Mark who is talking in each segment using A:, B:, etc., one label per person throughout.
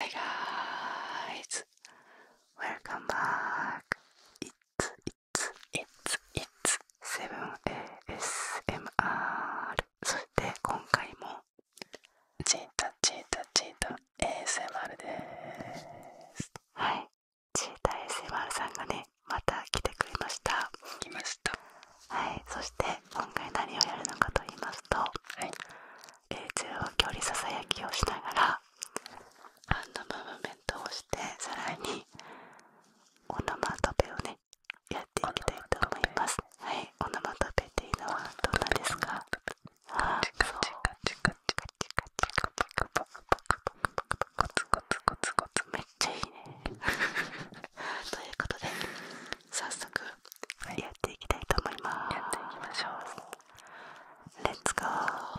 A: はい、ガー u ズ。s welcome back. It's it's i t i t 7ASMR そして今回もチータチータチータ ASMR ですはいチータ ASMR さんがねまた来てくれました来ましたはいそして今回何をやるのかと言いますと、はい、中央距離ささやきをしながらハンドムーブメントをしてさらにオノマトペをねやっていきたいと思いますはいオノマトっていうのはどんなですかあそうめっちゃいいねということで早速やっていきたいと思います、やっていきましょうレッツゴー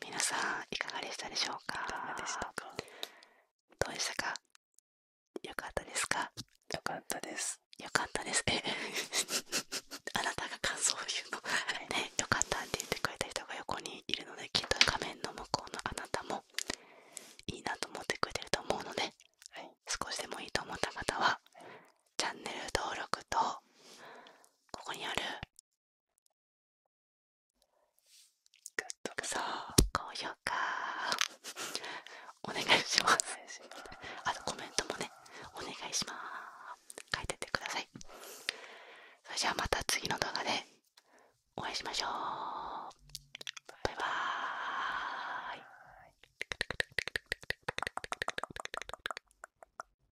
A: 皆さんいかがでしたでしょうかどうでしたかよかったですよかったですよかったです あなたが感想を言うのねよかったって言ってくれた人が横にいるのできっと画面の向こうのあなたもいいなと思ってくれてると思うので、少しでもいいと思った方はチャンネル登録とここにあるグッドそう高評価お願いしますあとコメントもねお願いします書いてってくださいそれじゃあまた次の動画でお会いしましょうバイバーイ